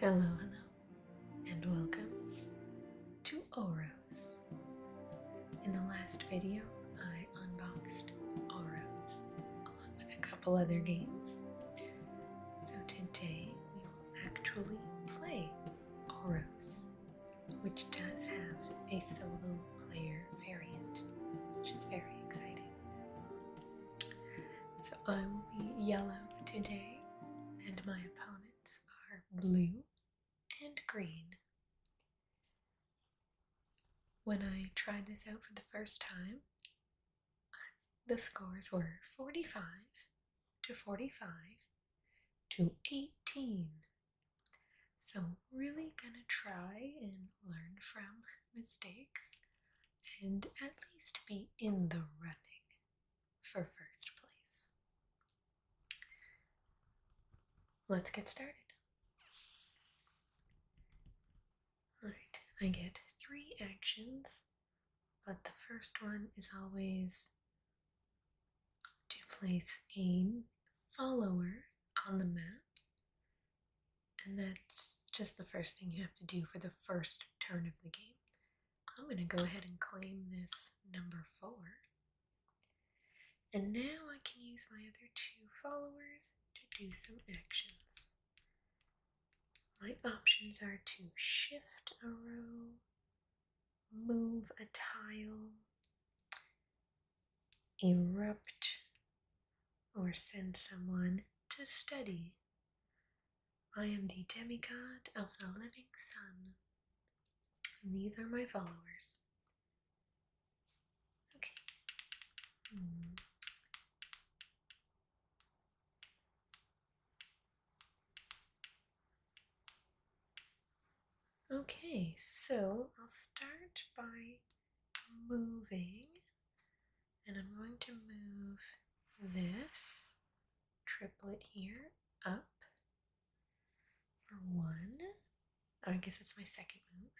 Hello, hello, and welcome to Oros. In the last video, I unboxed Oros along with a couple other games. So today we will actually play Oros which does have a solo player variant, which is very exciting. So I will be yellow today, and my opponents are blue and green. When I tried this out for the first time, the scores were 45 to 45 to 18 so, really gonna try and learn from mistakes and at least be in the running for first place. Let's get started. Alright, I get three actions, but the first one is always to place a follower on the map. And that's just the first thing you have to do for the first turn of the game. I'm going to go ahead and claim this number 4. And now I can use my other two followers to do some actions. My options are to shift a row move a tile, erupt, or send someone to study. I am the demigod of the living sun. And these are my followers. Okay. Hmm. Okay, so I'll start by moving, and I'm going to move this triplet here up for one. I guess that's my second move.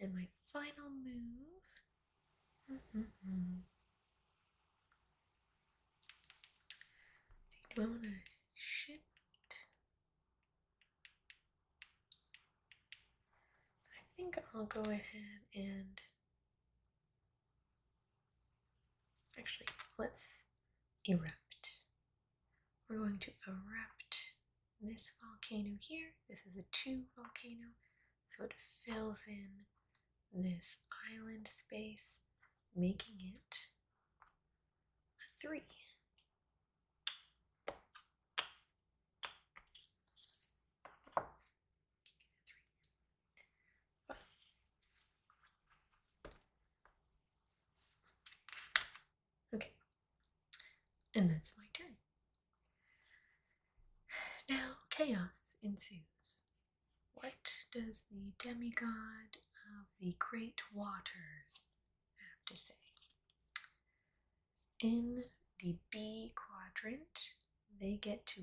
And my final move. Do I want to shift I think I'll go ahead and actually let's erupt. We're going to erupt this volcano here. This is a two volcano, so it fills in this island space, making it three. Okay, and that's my turn. Now, chaos ensues. What does the demigod of the great waters have to say. In the B quadrant, they get to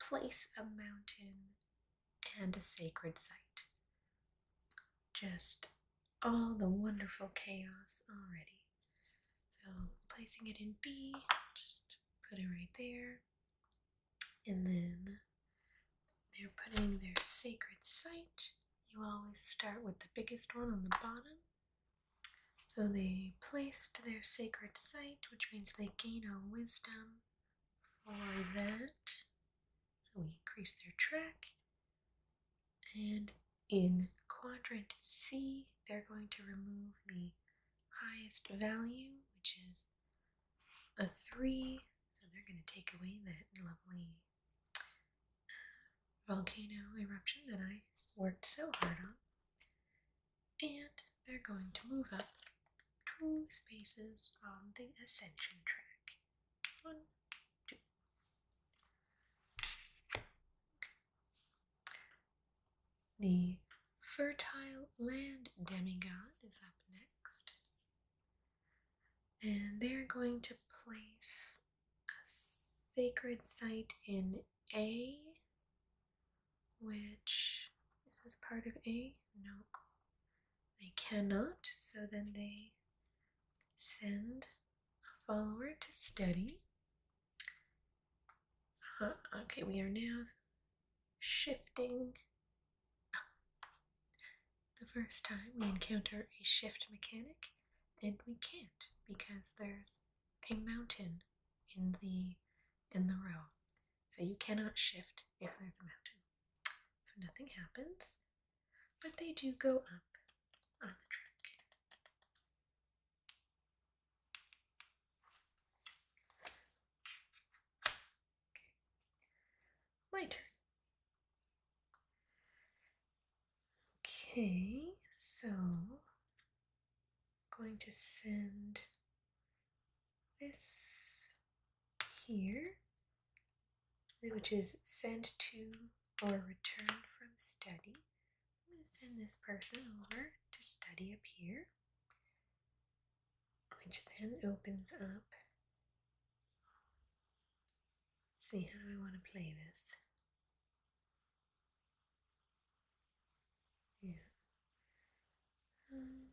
place a mountain and a sacred site. Just all the wonderful chaos already. So placing it in B, just put it right there. And then they're putting their sacred site. You always start with the biggest one on the bottom. So they placed their sacred site, which means they gain a wisdom for that. So we increase their track. And in quadrant C, they're going to remove the highest value, which is a 3. So they're going to take away that lovely volcano eruption that I worked so hard on. And they're going to move up two spaces on the ascension track. One, two. The fertile land demigod is up next. And they're going to place a sacred site in A, which is part of A? No. They cannot, so then they send a follower to study. Uh-huh. Okay, we are now shifting the first time we encounter a shift mechanic, and we can't because there's a mountain in the in the row. So you cannot shift if there's a mountain. So nothing happens. But they do go up on the track my turn. Okay, so I'm going to send this here, which is send to or return from study. I'm going to send this person over to study up here, which then opens up Let's see how do I want to play this. Yeah. Um,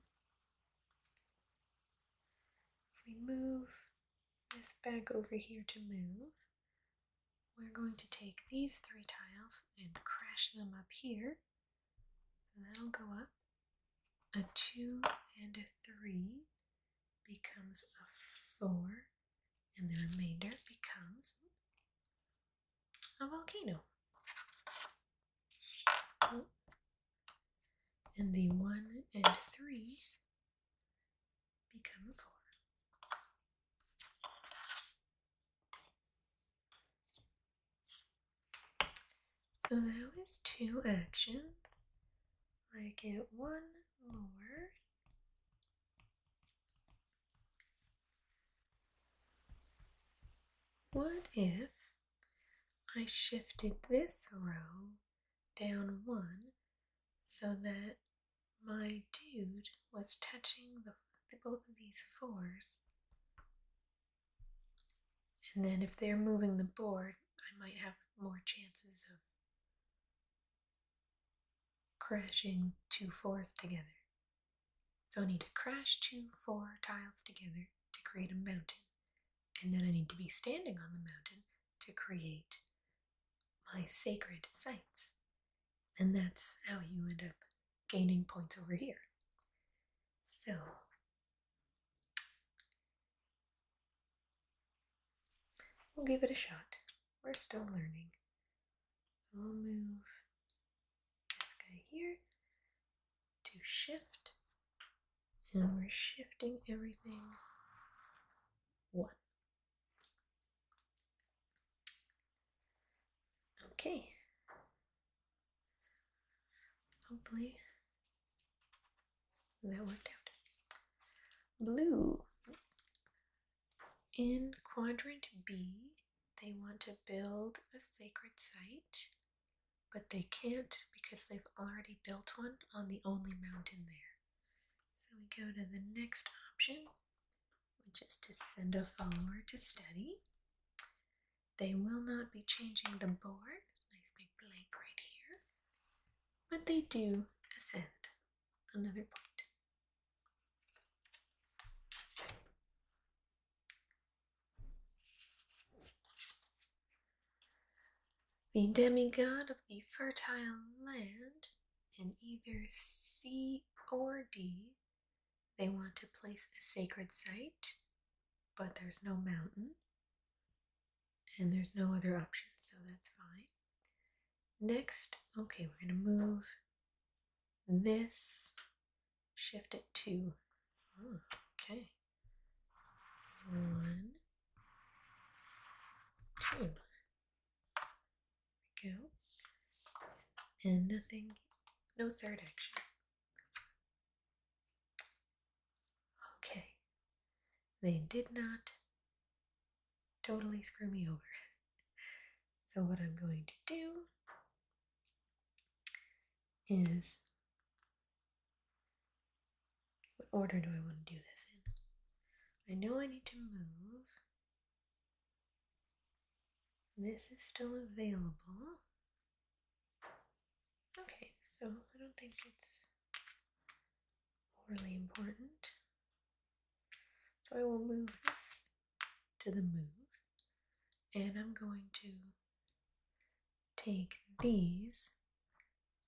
if we move this back over here to move, we're going to take these three tiles and crash them up here. that'll go up a 2 and a 3 becomes a 4 and the remainder becomes a volcano. And the 1 and 3 become a 4. So that was two actions. I get one more. what if I shifted this row down one so that my dude was touching the, both of these fours. And then if they're moving the board, I might have more chances of crashing two fours together. So I need to crash two four tiles together to create a mountain. And then I need to be standing on the mountain to create my sacred sites. And that's how you end up gaining points over here. So We'll give it a shot. We're still learning. So we'll move this guy here to shift. And we're shifting everything one. Okay. Hopefully that worked out. Blue. In quadrant B, they want to build a sacred site, but they can't because they've already built one on the only mountain there. So we go to the next option, which is to send a follower to study. They will not be changing the board, nice big blank right here but they do ascend. Another point. The demigod of the fertile land, in either C or D, they want to place a sacred site, but there's no mountain and there's no other option, so that's fine. Next, okay, we're going to move this, shift it to, okay, one, two, we go, and nothing, no third action. Okay, they did not totally screw me over. So, what I'm going to do is what order do I want to do this in? I know I need to move. This is still available. Okay, so I don't think it's overly important. So I will move this to the move, and I'm going to take these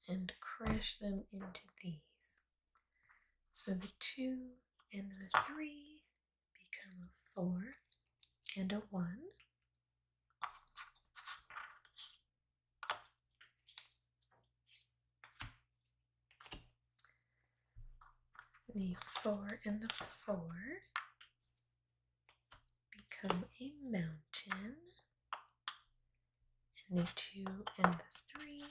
and crush them into these. So the 2 and the 3 become a 4 and a 1. The four and the four become a mountain, and the two and the three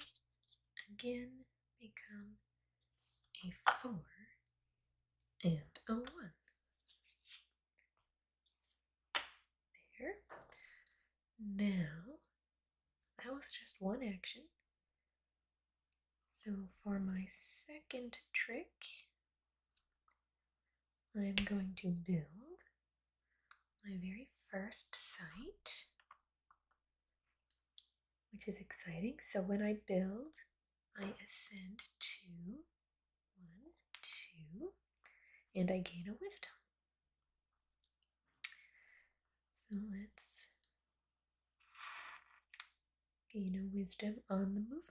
again become a four and a one. There. Now, that was just one action. So for my second trick, I'm going to build my very first site, which is exciting. So when I build, I ascend to one, two, and I gain a wisdom. So let's gain a wisdom on the movement.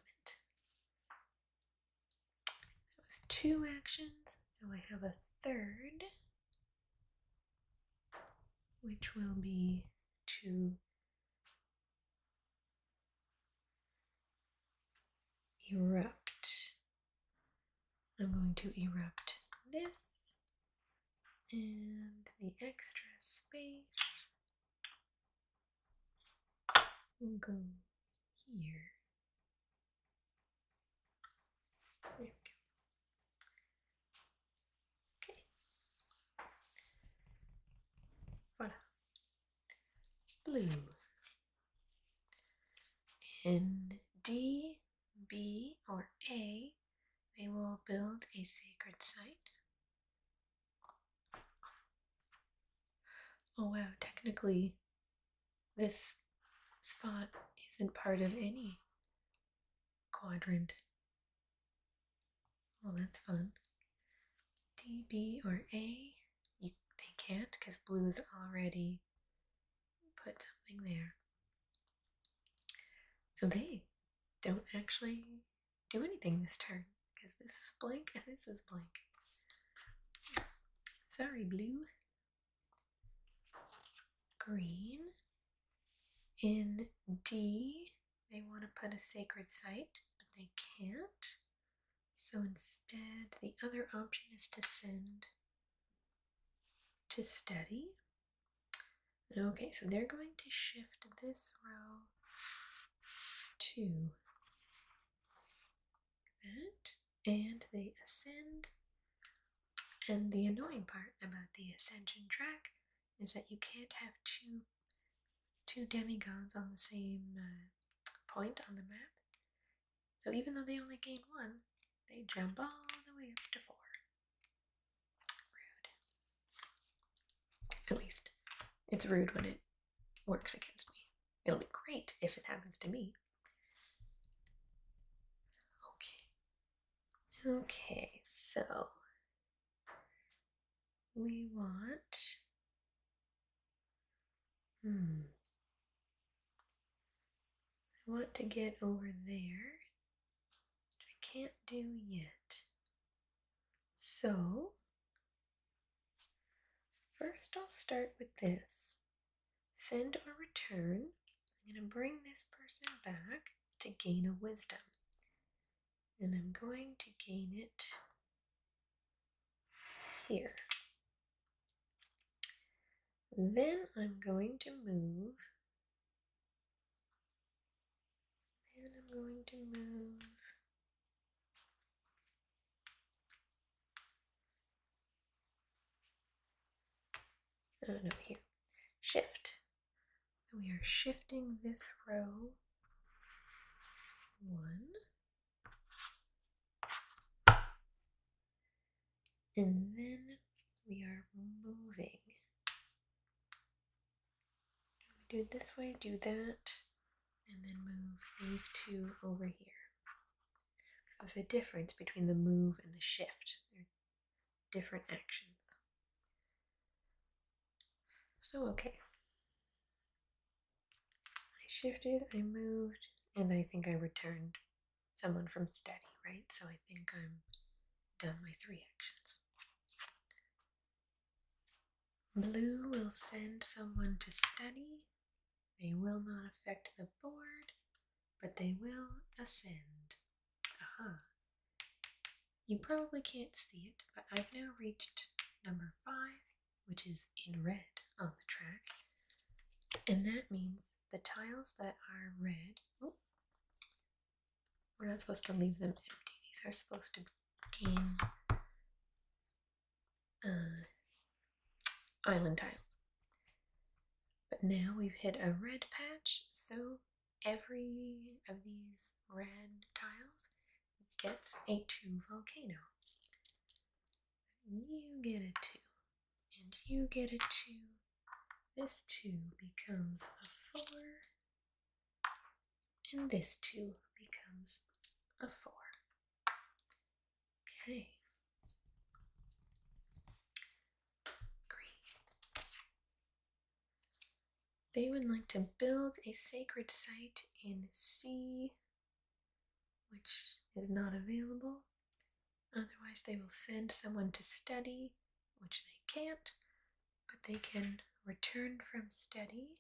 That was two actions, so I have a third, which will be to erupt I'm going to erupt this and the extra space will go here. There we go. Okay. Voilà. Blue. in D B or A, they will build a sacred site. Oh wow, technically, this spot isn't part of any quadrant. Well, that's fun. D, B, or A, you, they can't because blue is already put something there. So they don't actually do anything this turn because this is blank and this is blank. Sorry, blue. Green. In D, they want to put a sacred site, but they can't. So instead, the other option is to send to study. Okay, so they're going to shift this row to that, and they ascend. And the annoying part about the ascension track is that you can't have two two demigods on the same uh, point on the map so even though they only gain one, they jump all the way up to four. Rude. At least, it's rude when it works against me. It'll be great if it happens to me. Okay. Okay, so we want. Hmm. I want to get over there, which I can't do yet. So, first I'll start with this. Send or return. I'm going to bring this person back to gain a wisdom. And I'm going to gain it here. Then I'm going to move. and I'm going to move. Oh no, here. Shift. And we are shifting this row one. And then we are moving. do this way, do that, and then move these two over here. So the difference between the move and the shift. They're different actions. So, okay. I shifted, I moved, and I think I returned someone from study, right? So I think I'm done my three actions. Blue will send someone to study. They will not affect the board, but they will ascend. Aha. You probably can't see it, but I've now reached number five, which is in red on the track. And that means the tiles that are red, we're not supposed to leave them empty. These are supposed to be uh, island tiles. But now we've hit a red patch, so every of these red tiles gets a 2 volcano. You get a 2, and you get a 2, this 2 becomes a 4, and this 2 becomes a 4. Okay. Great. They would like to build a sacred site in C, which is not available. Otherwise, they will send someone to study, which they can't, but they can return from study.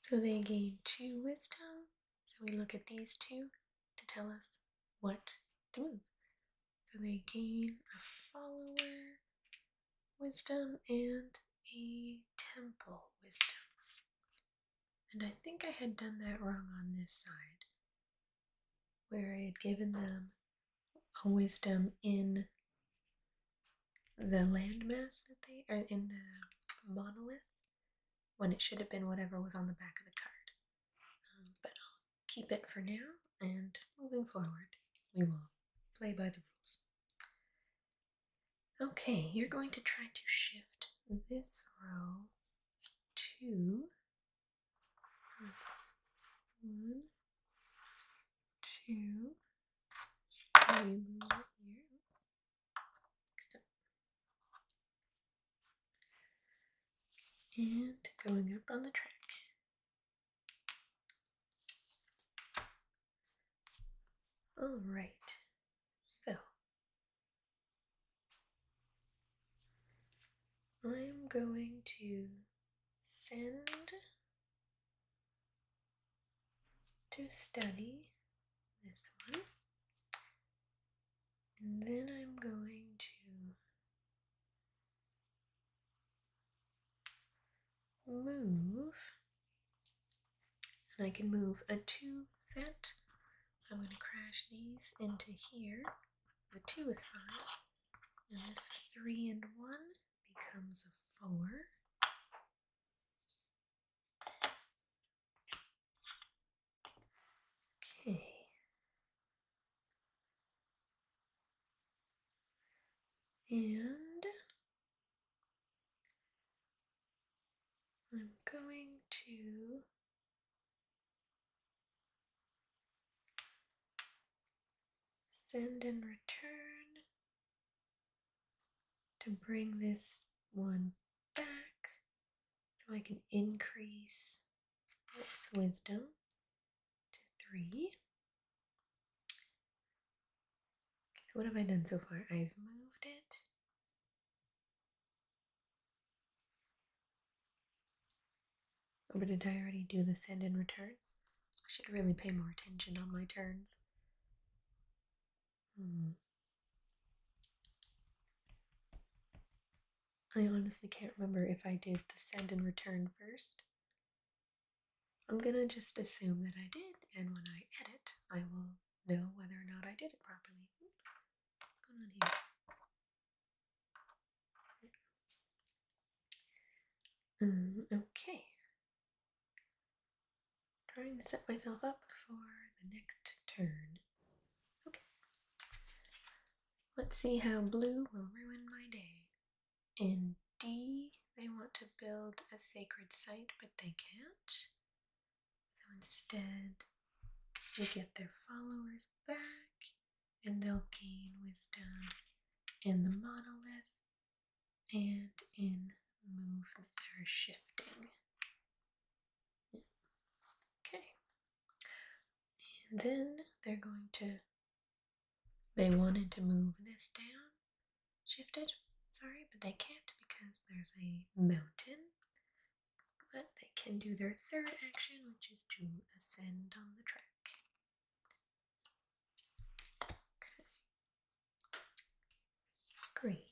So they gain two wisdom. So we look at these two to tell us what to move. So they gain a follower wisdom and a temple wisdom. And I think I had done that wrong on this side where I had given them a wisdom in the landmass that they are in the monolith when it should have been whatever was on the back of the card. Um, but I'll keep it for now, and moving forward, we will play by the rules. Okay, you're going to try to shift this row to one, two, three, And going up on the track. All right, so I'm going to send to study this one, and then I'm going to move, and I can move a two set. I'm going to crash these into here. The 2 is fine, And this 3 and 1 becomes a 4. Okay. And I'm going to Send and return to bring this one back so I can increase this wisdom to three. So what have I done so far? I've moved it but did I already do the send and return? I should really pay more attention on my turns. Hmm. I honestly can't remember if I did the send and return first. I'm gonna just assume that I did, and when I edit, I will know whether or not I did it properly. What's going on here? Um, okay. Trying to set myself up for the next turn. Okay. Let's see how blue will ruin my day. In D, they want to build a sacred site, but they can't. So instead, they get their followers back and they'll gain wisdom in the monolith and in movement or shifting. Okay. And then they're going to, they wanted to move this down, shifted, sorry, but they can't because there's a mountain but they can do their third action, which is to ascend on the track. Green.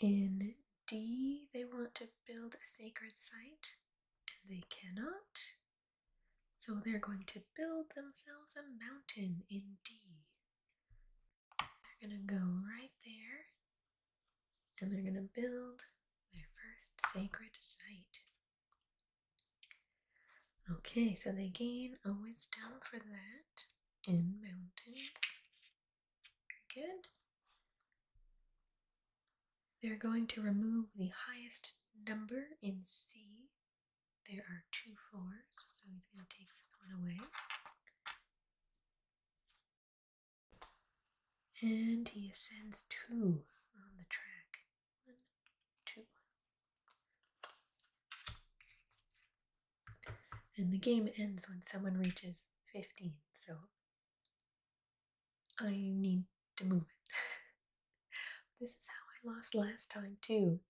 In D, they want to build a sacred site, and they cannot. So they're going to build themselves a mountain in D. They're going to go right there and they're going to build their first sacred site. Okay, so they gain a wisdom for that in mountains. Good. They're going to remove the highest number in C. There are two fours, so he's going to take this one away. And he ascends two on the track. One, two, one. And the game ends when someone reaches 15, so I need to move it. this is how I lost last time, too.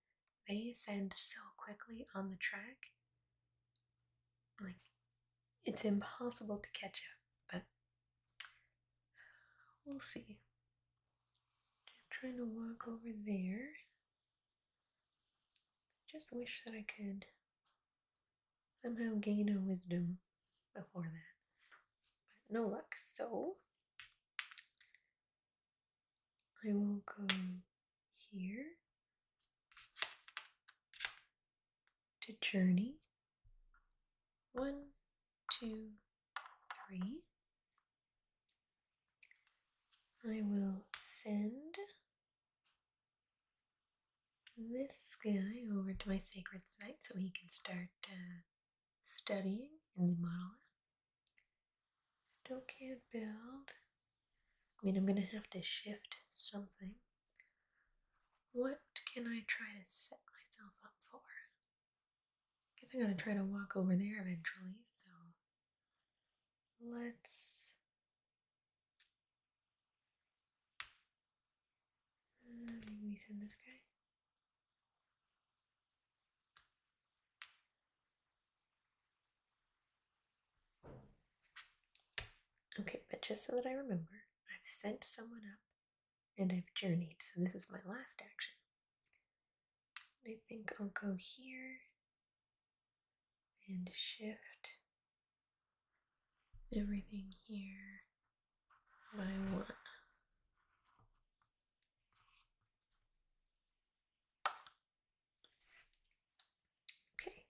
They ascend so quickly on the track. Like, it's impossible to catch up, but we'll see. I'm trying to walk over there. Just wish that I could somehow gain a wisdom before that. no luck, so I will go here to journey. One, two, three. I will send this guy over to my sacred site so he can start uh, studying in the monolith. Still can't build. I mean, I'm gonna have to shift something what can I try to set myself up for? I guess I'm gonna try to walk over there eventually, so let's. Uh, maybe send this guy. Okay, but just so that I remember, I've sent someone up and I've journeyed, so this is my last action. I think I'll go here and shift everything here by one. Okay.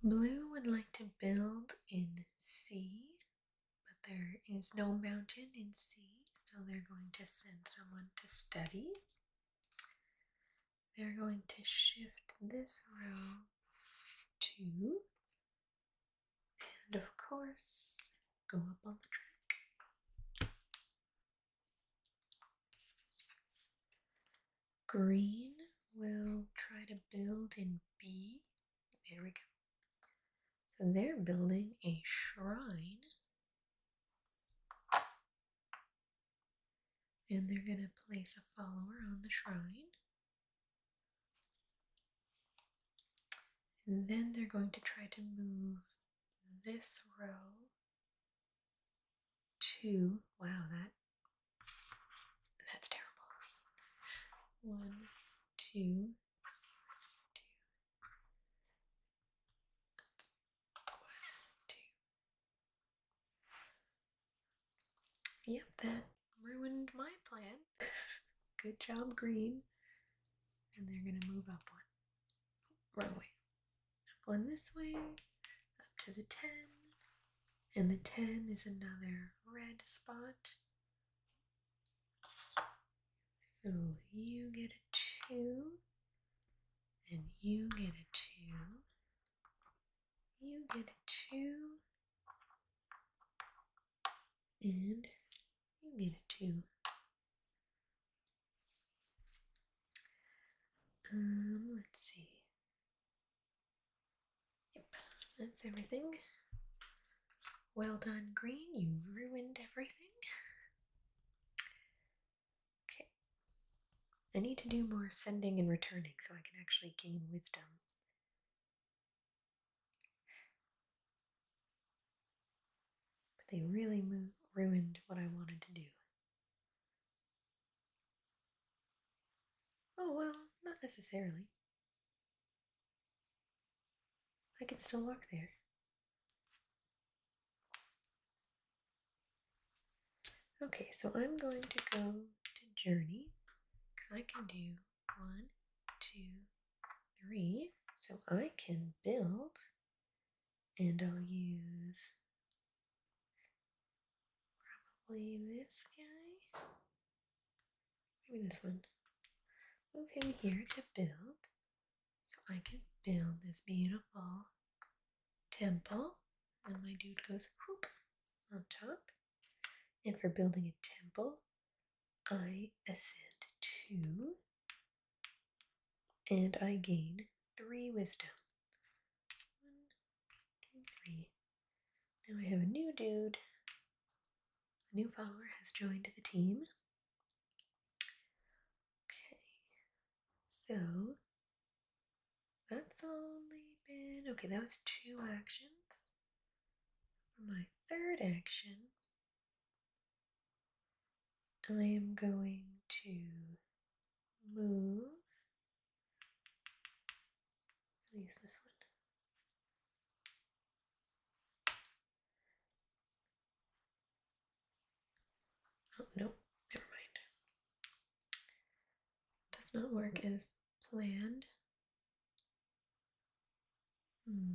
Blue would like to build in C, but there is no mountain in C, so they're going to send someone to study. They're going to shift this row to, and of course, go up on the track. Green will try to build in B. There we go. they're building a shrine. And they're going to place a follower on the shrine. And then they're going to try to move this row two. Wow, that that's terrible. One, two, two, one, two. Yep, that ruined my plan. Good job, green. And they're gonna move up one. Oh, wrong one this way, up to the 10, and the 10 is another red spot. So you get a 2, and you get a 2, you get a 2, and you get a 2. Um, let's see. Yep, that's everything. Well done, green. You ruined everything. Okay. I need to do more sending and returning so I can actually gain wisdom. But they really ruined what I wanted to do. Oh, well, not necessarily. I can still walk there. Okay, so I'm going to go to Journey because I can do one, two, three. So I can build and I'll use Probably this guy. Maybe this one. Move him here to build. So I can build this beautiful temple. And my dude goes on top. And for building a temple, I ascend two. And I gain three wisdom. One, two, three. Now I have a new dude. A new follower has joined the team. Okay, so that's only been okay, that was two actions. my third action, I am going to move. use this one. Oh, no, never mind. Does not work as planned. Hmm.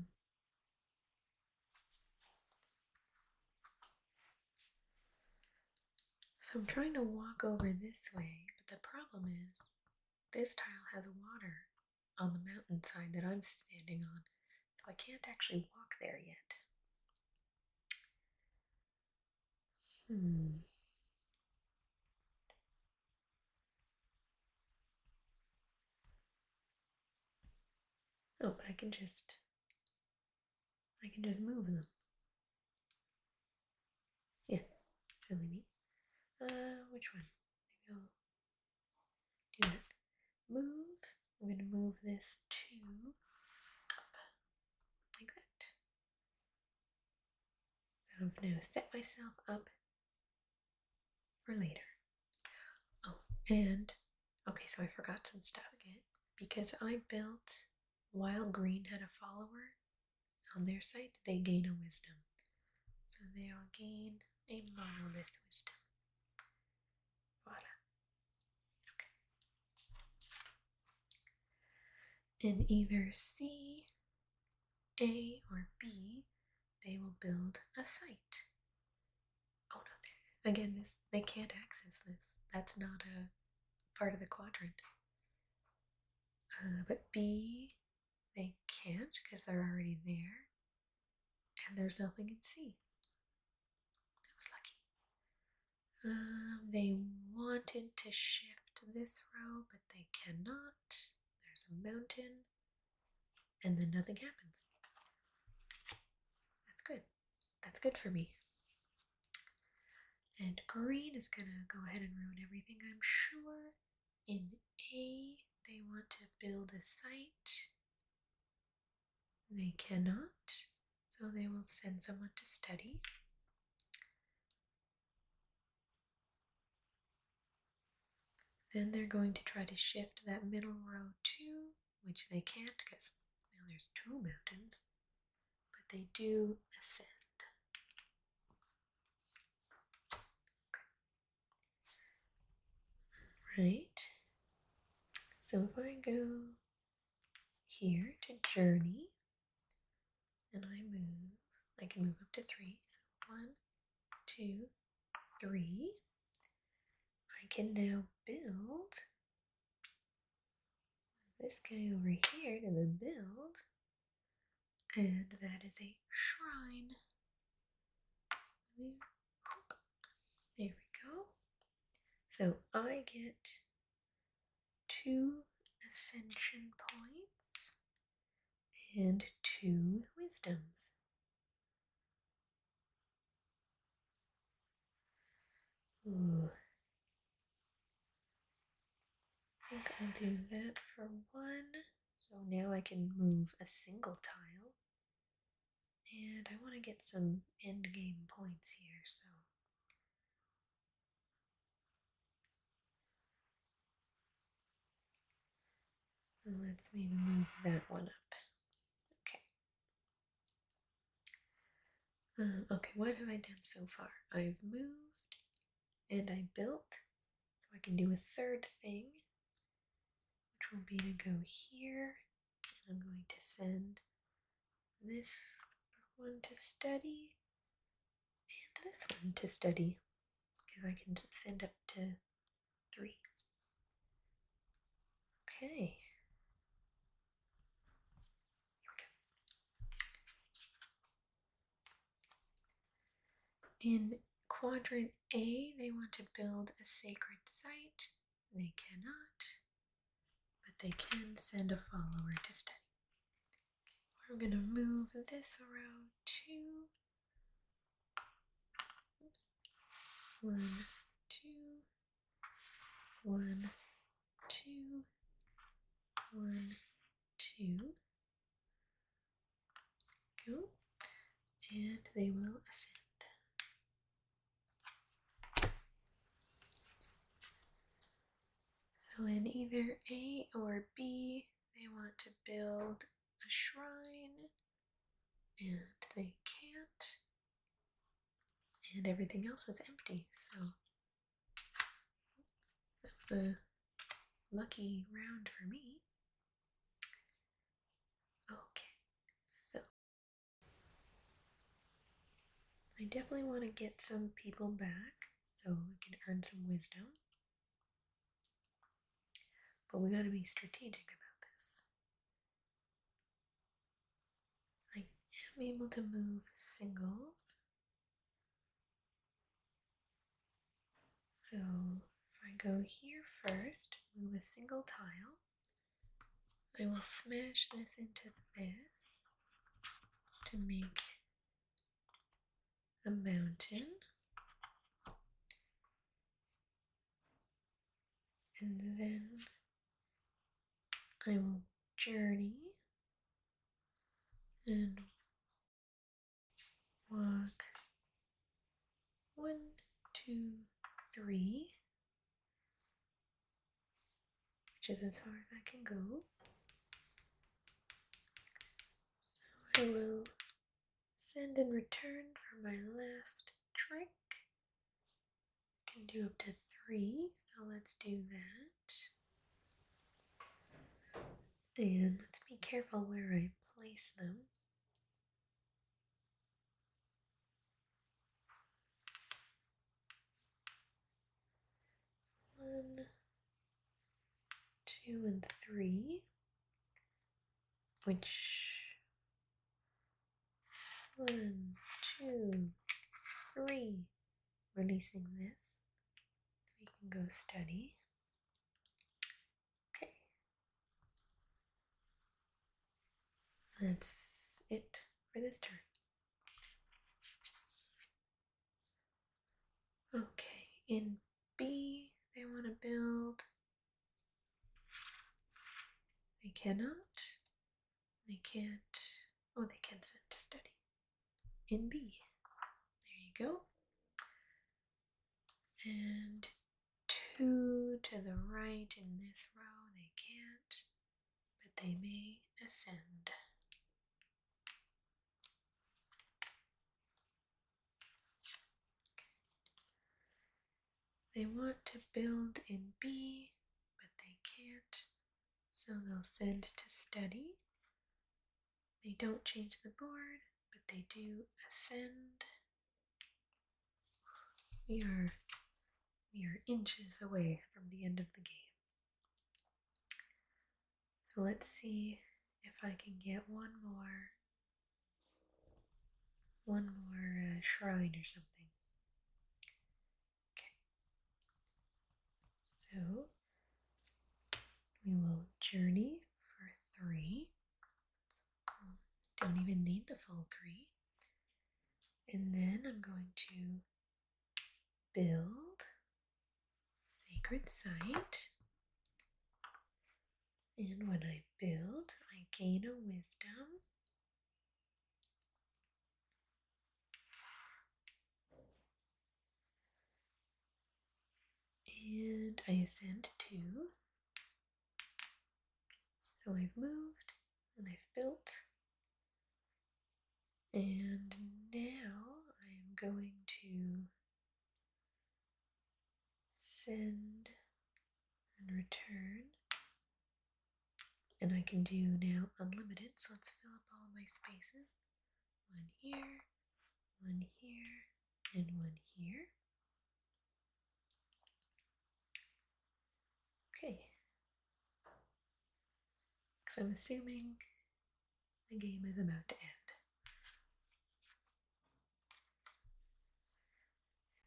So I'm trying to walk over this way, but the problem is this tile has water on the mountainside that I'm standing on, so I can't actually walk there yet. Hmm. Oh, but I can just I can just move them. Yeah, really neat. Uh, which one? Maybe I'll do that. Move. I'm going to move this to up, like that. So I've now set myself up for later. Oh, and, okay, so I forgot some stuff again, because I built while green had a follower on their side, they gain a wisdom. So they all gain a monolith wisdom. Voila. Okay. In either C, A, or B, they will build a site. Oh no. Again, this they can't access this. That's not a part of the quadrant. Uh, but B, they can't because they're already there. And there's nothing in C. I was lucky. Um, they wanted to shift this row, but they cannot. There's a mountain. And then nothing happens. That's good that's good for me. And green is gonna go ahead and ruin everything, I'm sure. In A, they want to build a site. They cannot, so they will send someone to study. Then they're going to try to shift that middle row too, which they can't because now there's two mountains but they do ascend. Right. So if I go here to journey and I move, I can move up to three. So one, two, three. I can now build this guy over here to the build, and that is a shrine. There, we go. So I get two ascension points and two wisdoms. I think I'll do that for one. So now I can move a single tile. And I want to get some endgame points here, so. let's move that one up. Okay. Um, okay, what have I done so far? I've moved and I built. So I can do a third thing, which will be to go here. And I'm going to send this one to study and this one to study. Because I can send up to three. Okay. In quadrant A, they want to build a sacred site. They cannot, but they can send a follower to study. I'm going to move this around. two. One, two, one, two, one, two. Go, and they will ascend. So, in either A or B, they want to build a shrine and they can't, and everything else is empty. So, the lucky round for me. Okay, so I definitely want to get some people back so we can earn some wisdom. But we got to be strategic about this. I am able to move singles so if I go here first, move a single tile, I will smash this into this to make a mountain. And then I will journey and walk one, two, three, which is as far as I can go. So I will send and return for my last trick. I can do up to three, so let's do that. And let's be careful where I place them. One, two, and three, which one, two, three, releasing this we can go study. Okay. That's it for this turn. Okay, in B, they want to build. They cannot. They can't. Oh, they can send to study in B. There you go. And two to the right in this row, they can't, but they may ascend. They want to build in B, but they can't, so they'll send to study. They don't change the board, but they do ascend. We are we are inches away from the end of the game. So let's see if I can get one more one more uh, shrine or something. Okay. So we will journey for three. don't even need the full three. And then I'm going to build sacred site. And when I build, I gain a wisdom and I ascend to. So I've moved and I've built. And now I'm going to send and return. And I can do now unlimited, so let's fill up all my spaces one here, one here, and one here. Okay. Because I'm assuming the game is about to end.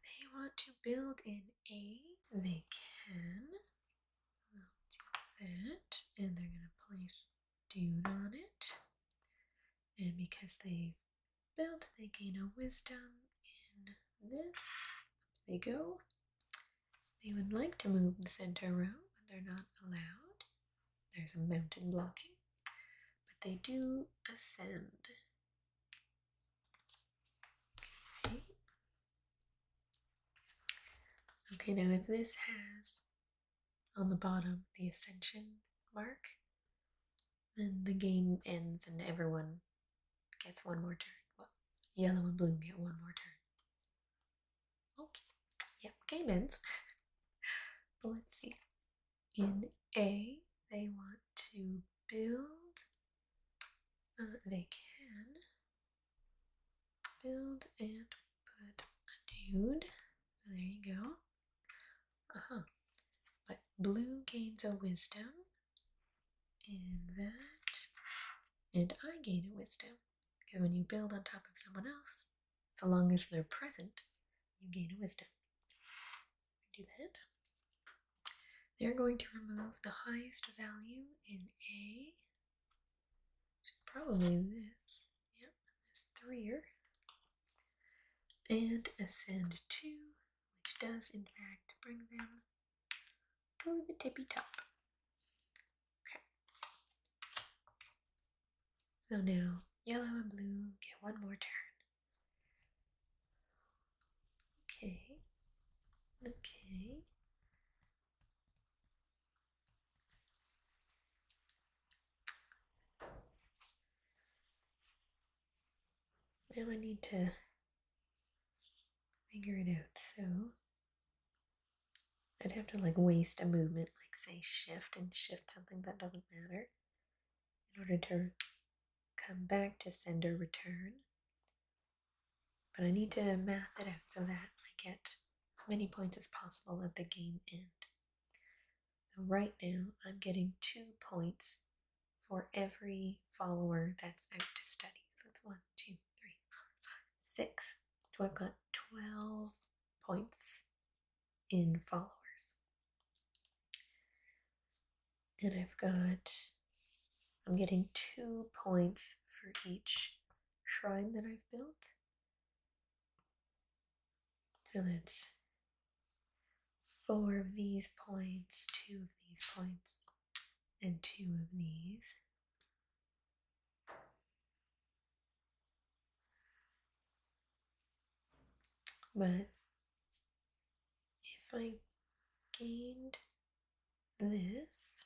they want to build in A, they can. I'll do that, and they're going to place Dude on it. And because they built, they gain a wisdom in this. they go. They would like to move the center row, but they're not allowed. There's a mountain blocking. But they do ascend. Okay, now if this has on the bottom the ascension mark, then the game ends and everyone gets one more turn. Well, yellow and blue get one more turn. Okay, yep, game ends. but let's see. In A, they want to build. Uh, they can build and put a nude. So there you go. Uh-huh. But blue gains a wisdom. And that. And I gain a wisdom. Because when you build on top of someone else, so long as they're present, you gain a wisdom. Do that. They're going to remove the highest value in A Probably this. Yep, this threer. And ascend two, which does in fact bring them to the tippy top. Okay. So now yellow and blue get one more turn. Okay. Okay. Now I need to figure it out. So I'd have to like waste a movement, like say shift and shift something that doesn't matter in order to come back to sender return. But I need to math it out so that I get as many points as possible at the game end. right now, I'm getting two points for every follower that's out to study. So it's one, two, three, four, five, six. So I've got 12 points in followers. And I've got, I'm getting two points for each shrine that I've built so that's four of these points, two of these points, and two of these. But if I gained this,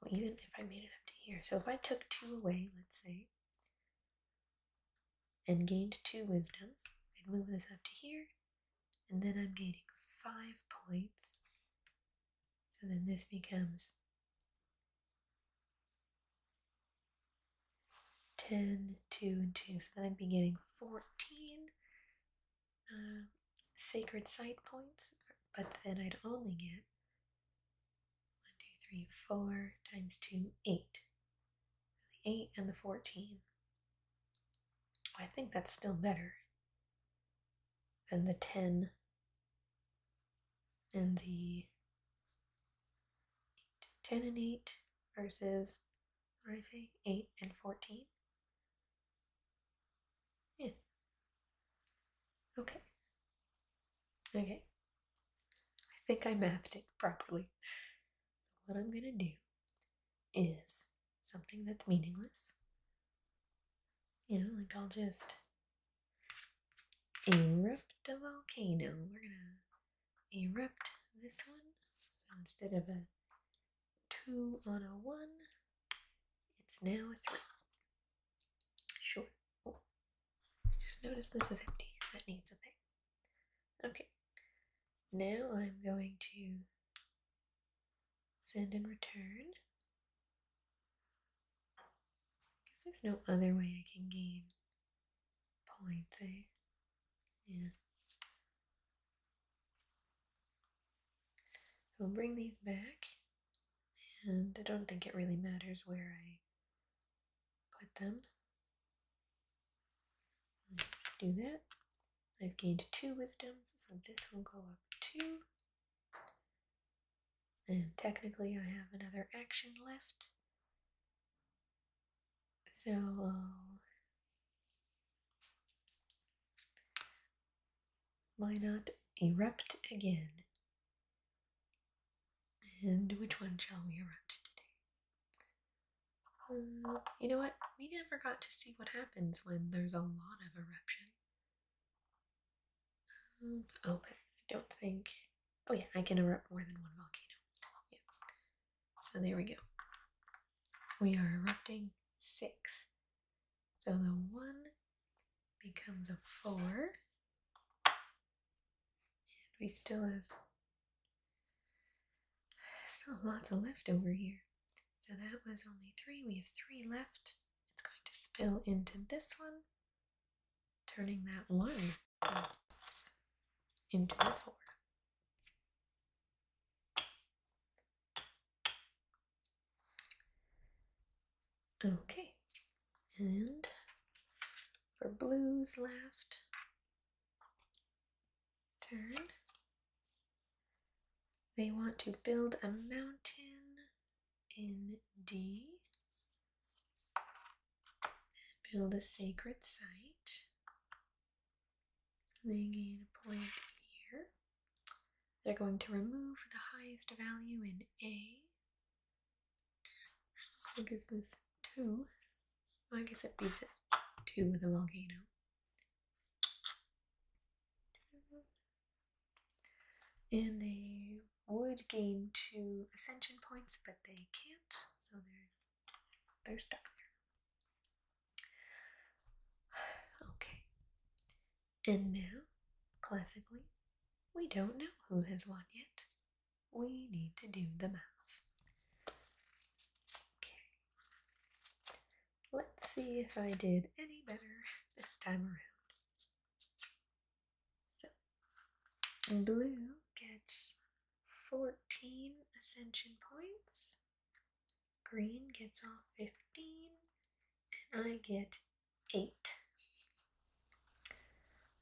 well, even if I made it up to here. So if I took two away, let's say, and gained two wisdoms, I'd move this up to here, and then I'm gaining five points. So then this becomes 10, 2, and 2. So then I'd be getting 14 uh, sacred site points, but then I'd only get one, two, three, four times two, eight. The eight and the 14. I think that's still better than the 10 and the 8. 10 and 8 versus, what did I say, 8 and 14? Yeah. Okay. Okay. I think I mathed it properly. So, what I'm gonna do is something that's meaningless. You know, like I'll just erupt a volcano. We're gonna erupt this one. So instead of a two on a one, it's now a three. Sure. Oh, just notice this is empty. That needs something. Okay. Now I'm going to send and return. Because there's no other way I can gain points, eh? Yeah. So will bring these back and I don't think it really matters where I put them. Do that. I've gained two wisdoms, so this will go up two. And technically, I have another action left. So why not erupt again? And which one shall we erupt today? Um, you know what? We never got to see what happens when there's a lot of eruption. Um, oh, but I don't think. Oh, yeah, I can erupt more than one volcano. Yeah. So there we go. We are erupting six. So the one, becomes a 4. And we still have still lots of left over here. So that was only 3. We have 3 left. It's going to spill into this one, turning that 1 into a 4. Okay, and for blues last turn, they want to build a mountain in D, build a sacred site. They gain a point here. They're going to remove the highest value in A what gives this two? I guess it beats it two with a volcano. And they would gain two ascension points, but they can't, so they're they stuck Okay. And now, classically, we don't know who has won yet. We need to do the math. Okay. Let's see if I did any better this time around. So, blue gets 14 ascension points, green gets all 15, and I get eight.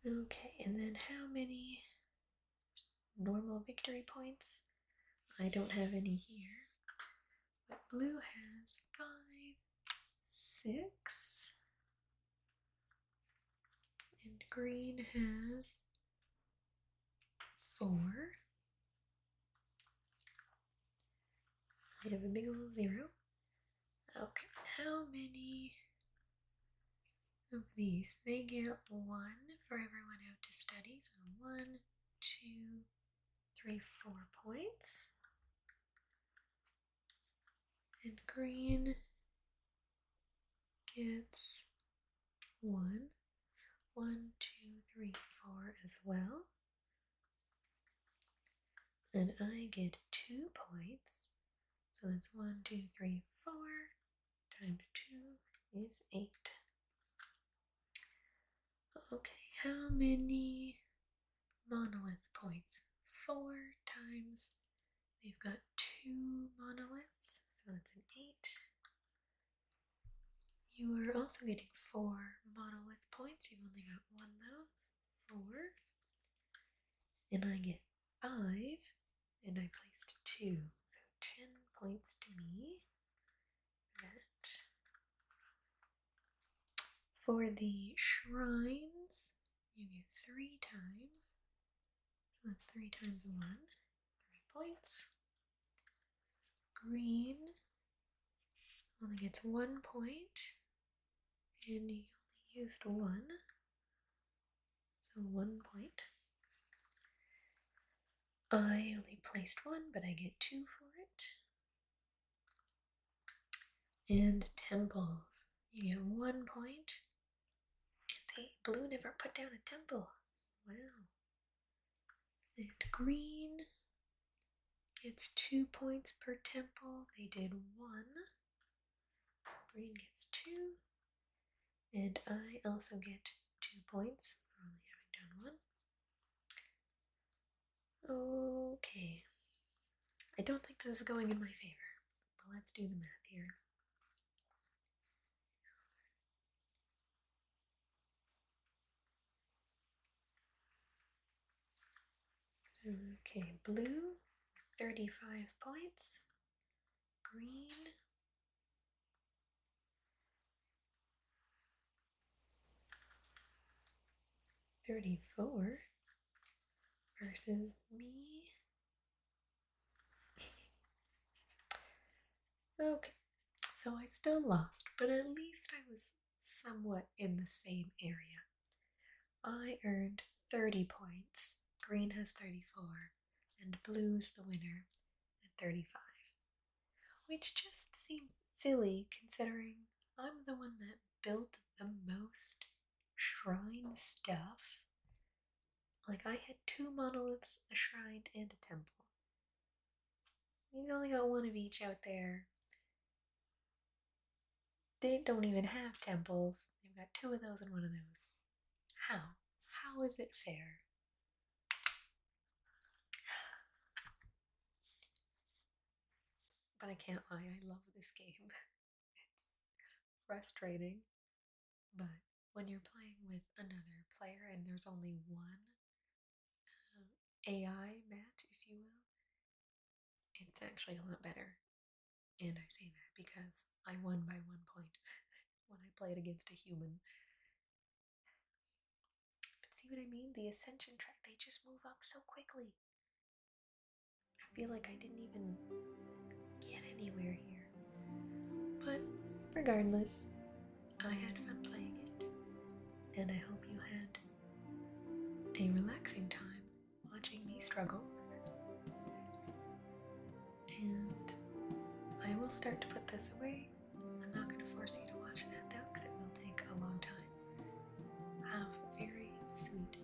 Okay, and then how many normal victory points? I don't have any here. But blue has five, six, and green has four. I have a big old zero. Okay, how many of these? They get one for everyone out to study. So one, two, three, four points. And green gets one, one, two, three, four as well. And I get two points. So that's one, two, three, four times two is eight. Okay, how many monolith points? Four times. They've got two monoliths, so that's an eight. You are also getting four monolith points. You've only got one though. Four and I get five, and I placed two, so ten points to me. For the shrines, you get three times, so that's three times one, three points. Green only gets one point, and you only used one, so one point. I only placed one, but I get two for it. And temples, you get one point, and they blue never put down a temple. Wow. And green gets two points per temple. They did one. Green gets two, and I also get two points only having done one. Okay. I don't think this is going in my favor, but let's do the math here. Okay, blue, 35 points. Green, Thirty-four versus me. okay, so I still lost, but at least I was somewhat in the same area. I earned 30 points, green has 34, and blue is the winner at 35. Which just seems silly considering I'm the one that built the most shrine stuff. Like, I had two monoliths, a shrine, and a temple. You've only got one of each out there. They don't even have temples. They've got two of those and one of those. How? How is it fair? But I can't lie, I love this game. it's frustrating, but when you're playing with another player and there's only one um, AI match, if you will, it's actually a lot better. And I say that because I won by one point when I played against a human. But see what I mean? The ascension track, they just move up so quickly. I feel like I didn't even get anywhere here. But regardless, I had fun playing it. And I hope you had a relaxing time watching me struggle. And I will start to put this away. I'm not going to force you to watch that though, because it will take a long time. Have very sweet dreams.